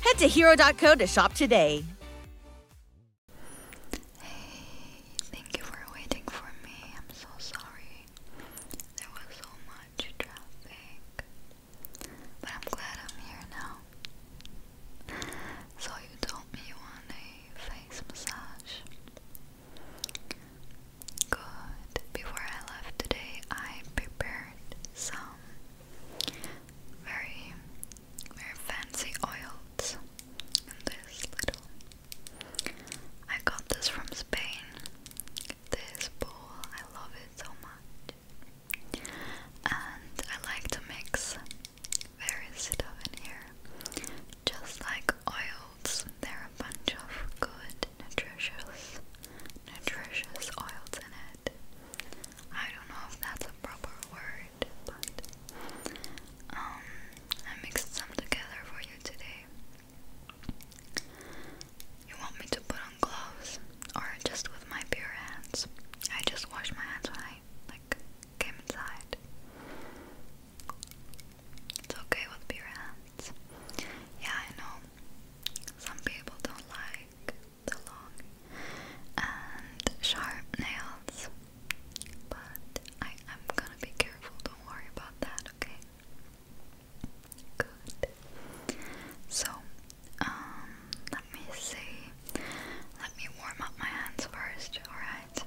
Head to hero.co to shop today. Hey, thank you for waiting for me. I'm so sorry. There was so much traffic. But I'm glad I'm here now. So, you told me you want a face massage. Good. Before I left today, I prepared some very, very fancy oils this little. I got this from Spain. This bowl, I love it so much. And I like to mix various stuff in here. Just like oils, there are a bunch of good, nutritious, nutritious oils in it. I don't know if that's a proper word, but um, I mixed some together for you today. You want me to put on gloves or just with my bare hands? I just washed my hands when I like came inside. It's okay with bare hands. Yeah, I know. Some people don't like the long and sharp nails. But I am gonna be careful, don't worry about that, okay? Good. So, um, let me see. Let me warm up my hands first, alright?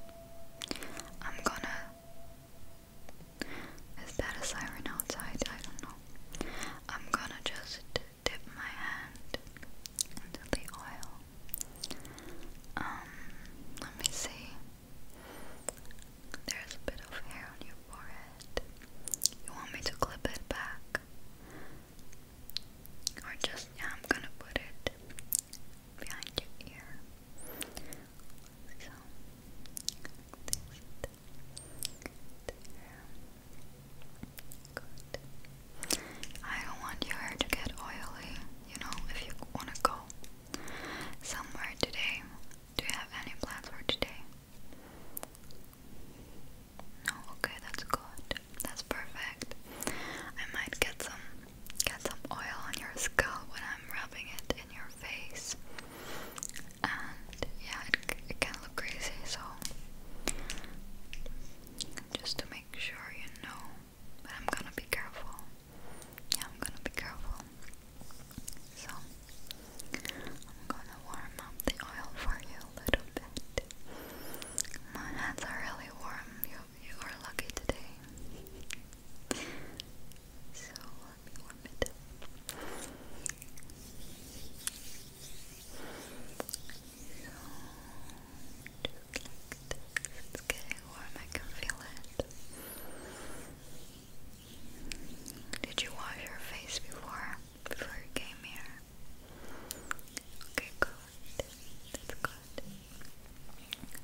I'm gonna. Is that a siren outside? I don't know. I'm gonna just dip my hand into the oil. Um, let me see. There's a bit of hair on your forehead. You want me to clip it back? Or just, I'm gonna put it behind your ear. So, I don't want your hair to get oily, you know, if you want to go somewhere today. Do you have any plans for today? No, okay, that's good. That's perfect. I might get some get some oil on your scalp when I'm rubbing it in your face yeah, it, can look crazy, so just to make sure you know, I'm gonna be careful. Yeah, I'm gonna be careful. So, I'm gonna warm up the oil for you a little bit. My hands are really warm. You, you are lucky today. So, warm it it's getting warm, I can feel it. Did you wash your face before? Before you came here? Okay, good. That's good.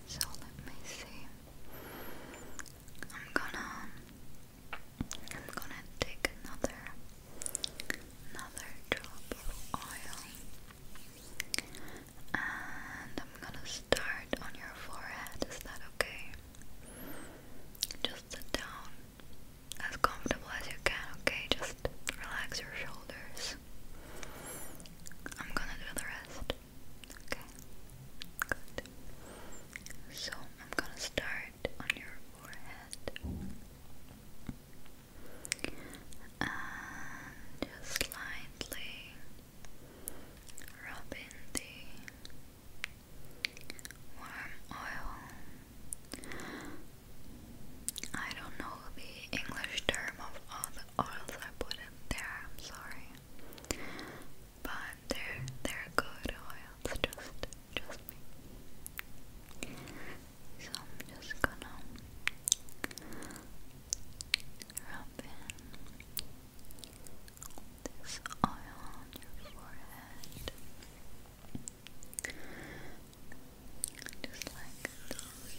So let me see. I'm gonna I'm gonna take another another drop of oil and I'm gonna start on your forehead. Is that okay? Just sit down as comfortable as you can, okay? Just relax your shoulders. I'm gonna do the rest. Okay. Good. So I'm gonna start on your forehead and just lightly rub the warm oil. I don't know the English term of all the oils I put in there, I'm sorry. But they're they're good oils, just trust me. So I'm just gonna rub in this oil on your forehead. Just like this.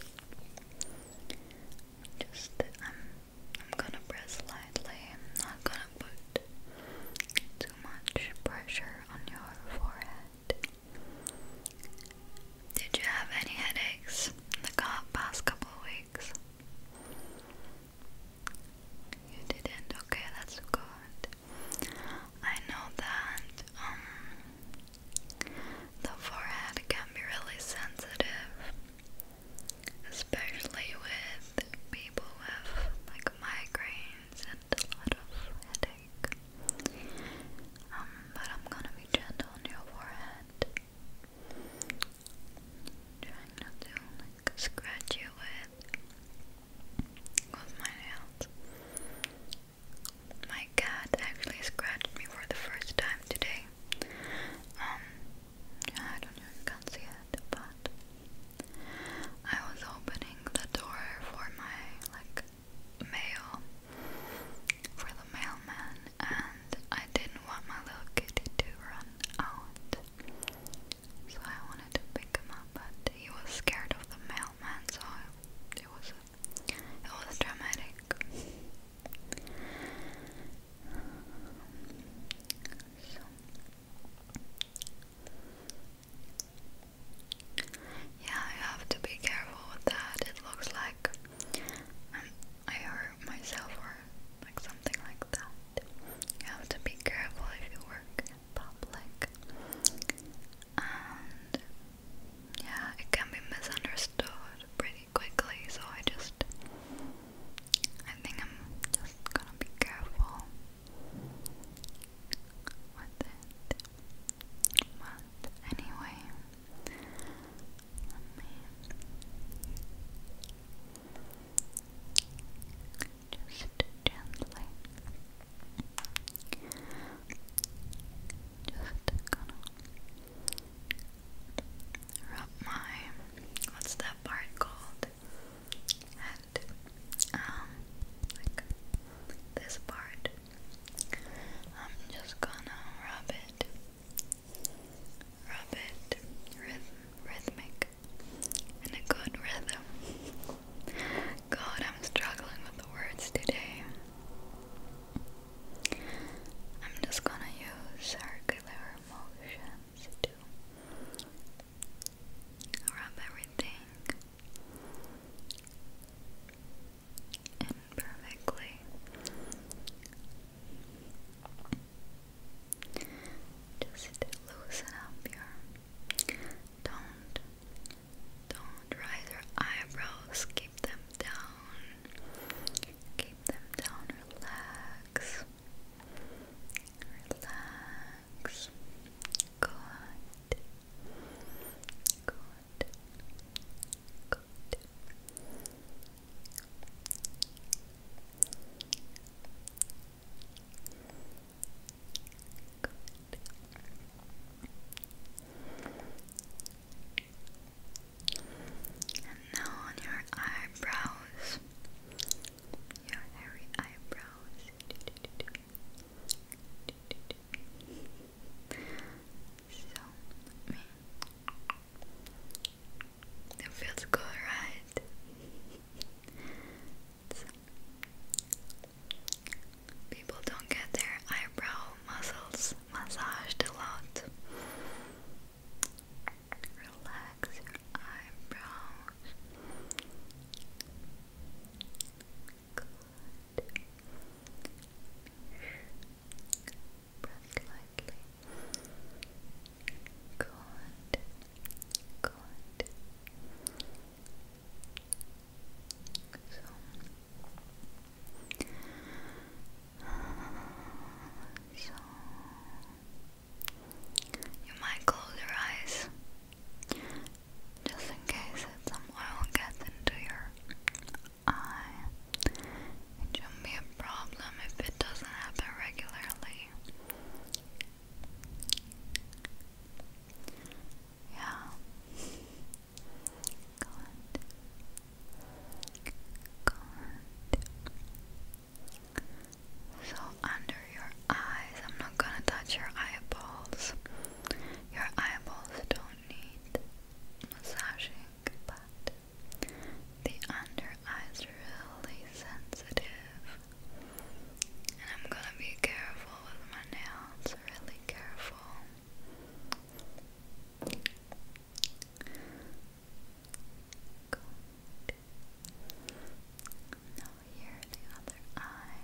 Just I'm I'm gonna press lightly. I'm not gonna put too much pressure on your forehead. Did you have any headaches in the past couple of weeks? You didn't? Okay, that's good. I know that um, the forehead can be really sensitive, especially with people with like migraines and a lot of headache. Um, but I'm gonna be gentle on your forehead. Trying not to scratch you with my nails. My cat actually scratched me for the first time today. Um, I don't know if you can see it, but I was opening the door for my like mail for the mailman, and I didn't want my little kitty to run out, so I wanted to pick him up, but he was scared of the mailman, so I, it was a, it was dramatic. So. Yeah, I have to be careful with that. It looks like um, i hurt myself or like something like that. You have to be careful if you work public. And yeah, it can be misunderstood pretty quickly, so I just I think I'm just gonna be careful with it. But anyway, let me just gently, just gonna rub my what's that part called? Head. Um, like this part. I'm just gonna rub it, rub it rhythmic in a good rhythm. God, I'm struggling with the words today. I'm just gonna use circular motions to rub everything in perfectly. Just loosen up your don't don't raise your eyebrows, keep them down. Keep them down, relax. Relax. Good. Good. Good. Good. And now on your eyebrows, your hairy eyebrows. So, I mean, it feels good, right? so, people don't get their eyebrow muscles massaged a lot. Relax your eyebrows. Good. Breath lightly. Good. Good. So so you might close your eyes just in case that some oil gets into your eye. It shouldn't be a problem if it doesn't happen regularly. Yeah. Good. Good. So under your eyes, I'm not gonna touch your eyeballs. Your eyeballs don't need massaging, but the under eye's really sensitive. And I'm gonna be careful with my nails, really careful. Now here the other eye.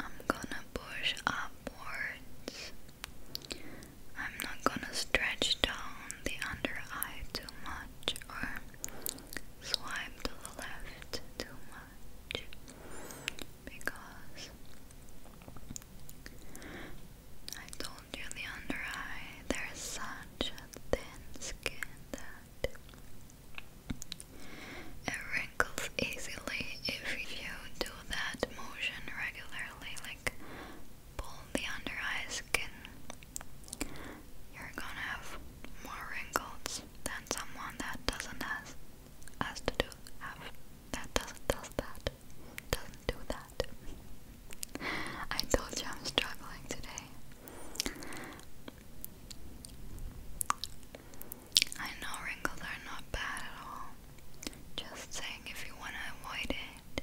I'm gonna push upwards I'm not gonna stretch down the under eye too much or swipe to the left too much because I told you the under eye there's such thin skin that it wrinkles easily if you do that motion regularly, pull the under eye skin, you're gonna have more wrinkles than someone that doesn't has has to do have that doesn't does that doesn't do that. I told you I'm struggling today. I know wrinkles are not bad at all. Just saying, if you want to avoid it,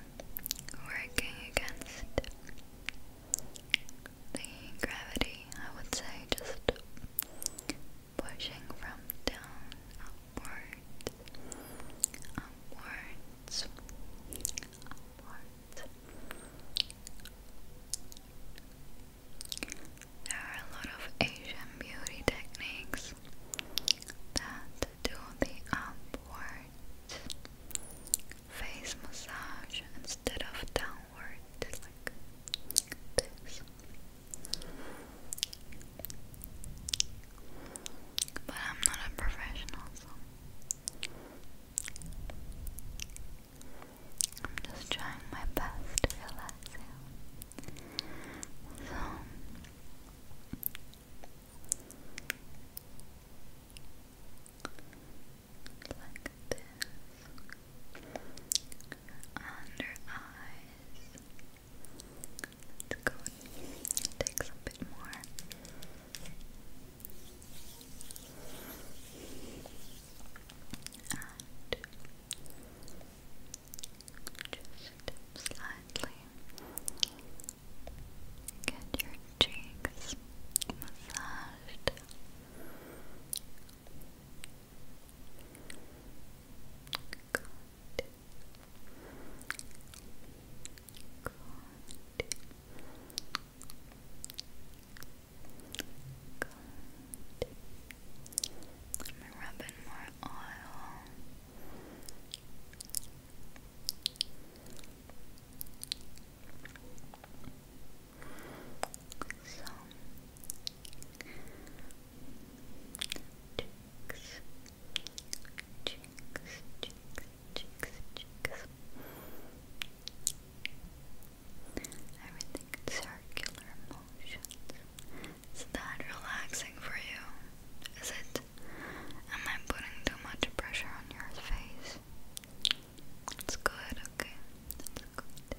working against the gravity, I would say, just pushing from down upwards, upwards, upwards. There are a lot of Asian beauty techniques that to do the upward face massage instead of downward, like this. But I'm not a professional, so I'm just trying my best to relax you. So like this. Under eyes. Let's go take some bit more. just slightly Get your cheeks massaged. Good. Good. more oil. So Everything in circular motions. Is that relaxing for you? Is it it? Am I putting too much pressure on your face? It's good, okay. That's good.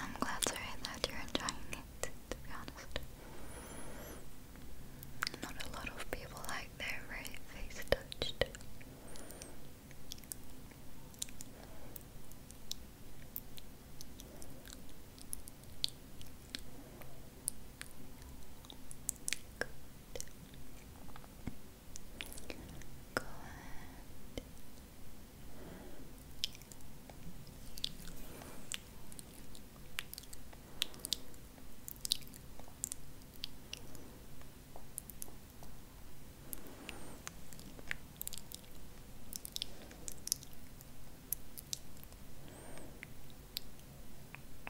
I'm glad to hear that you're enjoying it, to be honest. Not a lot of people like their face touched. Good. Go ahead. Good.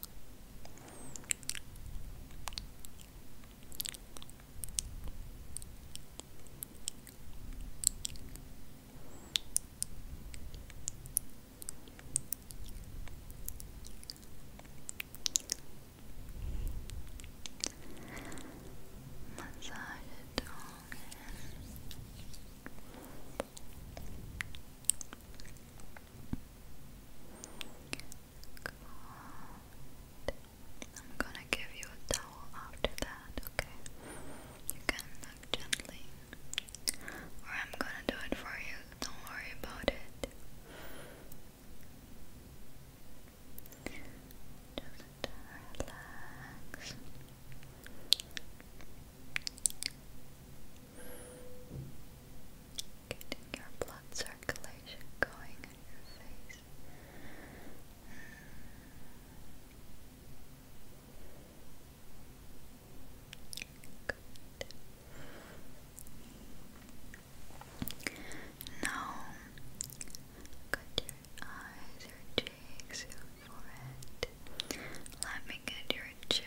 Massage it all in. Good. I'm gonna give you a towel after that, okay? You can look gently. Or I'm gonna do it for you, don't worry about it. Just relax getting your blood circulation going in your face. Good. Now, cut your eyes, your cheeks, your forehead. Let me get your chin.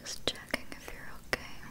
Just checking if you're okay.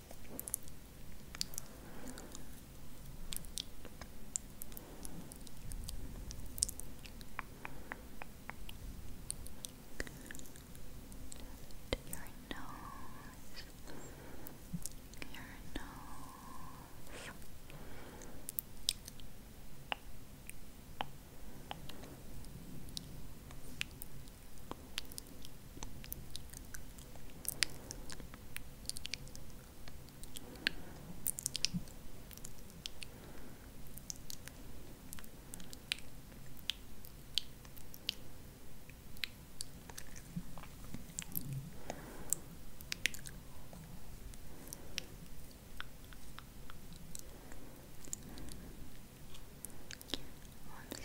your nose, your nose i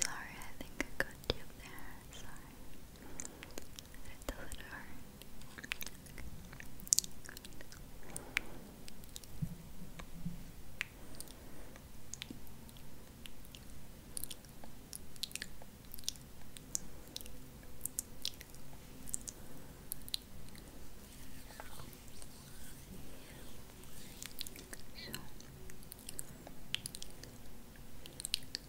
sorry, I think I got you there. Sorry. Does it hurt? So. Let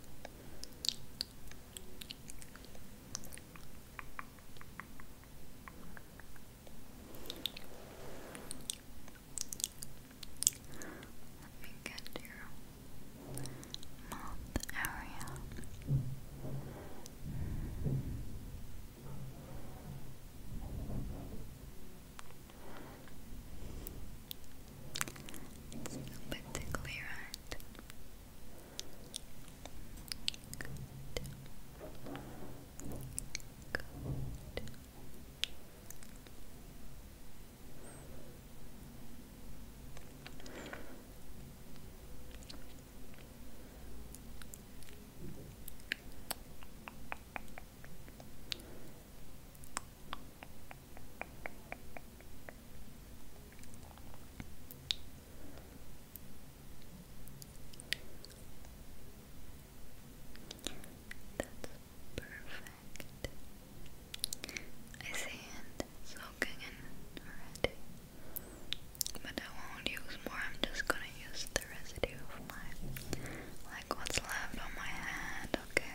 me get your mouth area. Okay. It's a bit tickly, right? Good. Good perfect. I see it soaking in already. But I won't use more, I'm just gonna use the residue of my like what's left on my hand, okay?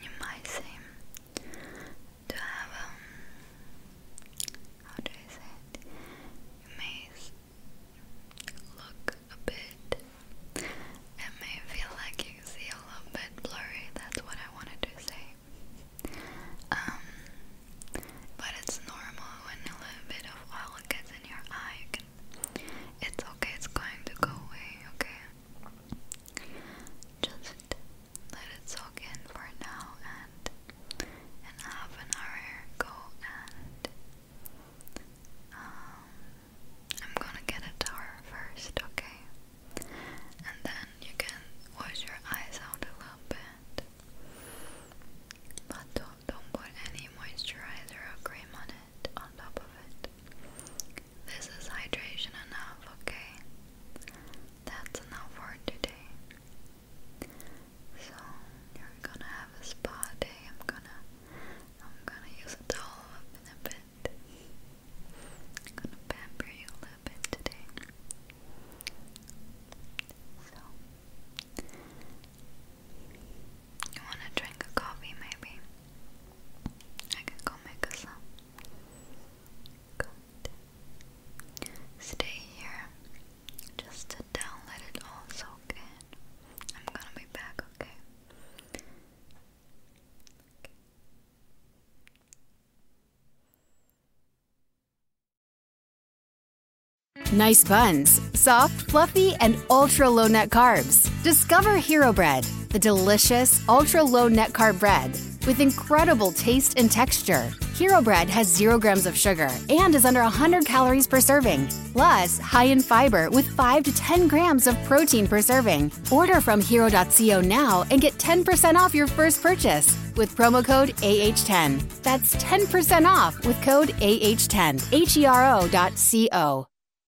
You might seem to have, um, how do I say it? You may look a bit, it may feel like you see a little bit blurry, that's what I wanted to say. Um, but it's normal when a little bit of oil gets in your eye. it's okay, it's going to go away, okay? Just let it soak in for now and in half an hour go and um, I'm gonna get a tower first, okay? And then you can wash your eyes out a little bit. But don't, don't put any moisturizer or cream on it on top of it. This is hydration enough, okay? That's enough for today. So you're gonna have a spa day. I'm gonna I'm gonna use a towel up in a bit. I'm gonna pamper you a little bit today. So you wanna drink a coffee maybe? I can go make us some. Stay here just to down, let it all soak in. I'm gonna be back, okay. Nice buns, soft, fluffy, and ultra low net carbs. Discover Hero Bread, the delicious ultra low net carb bread with incredible taste and texture. Hero Bread has zero grams of sugar and is under 100 calories per serving, plus high in fiber with 5 to 10 grams of protein per serving. Order from hero.co now and get 10% off your first purchase with promo code AH10. That's 10% off with code AH10. H E R O.co.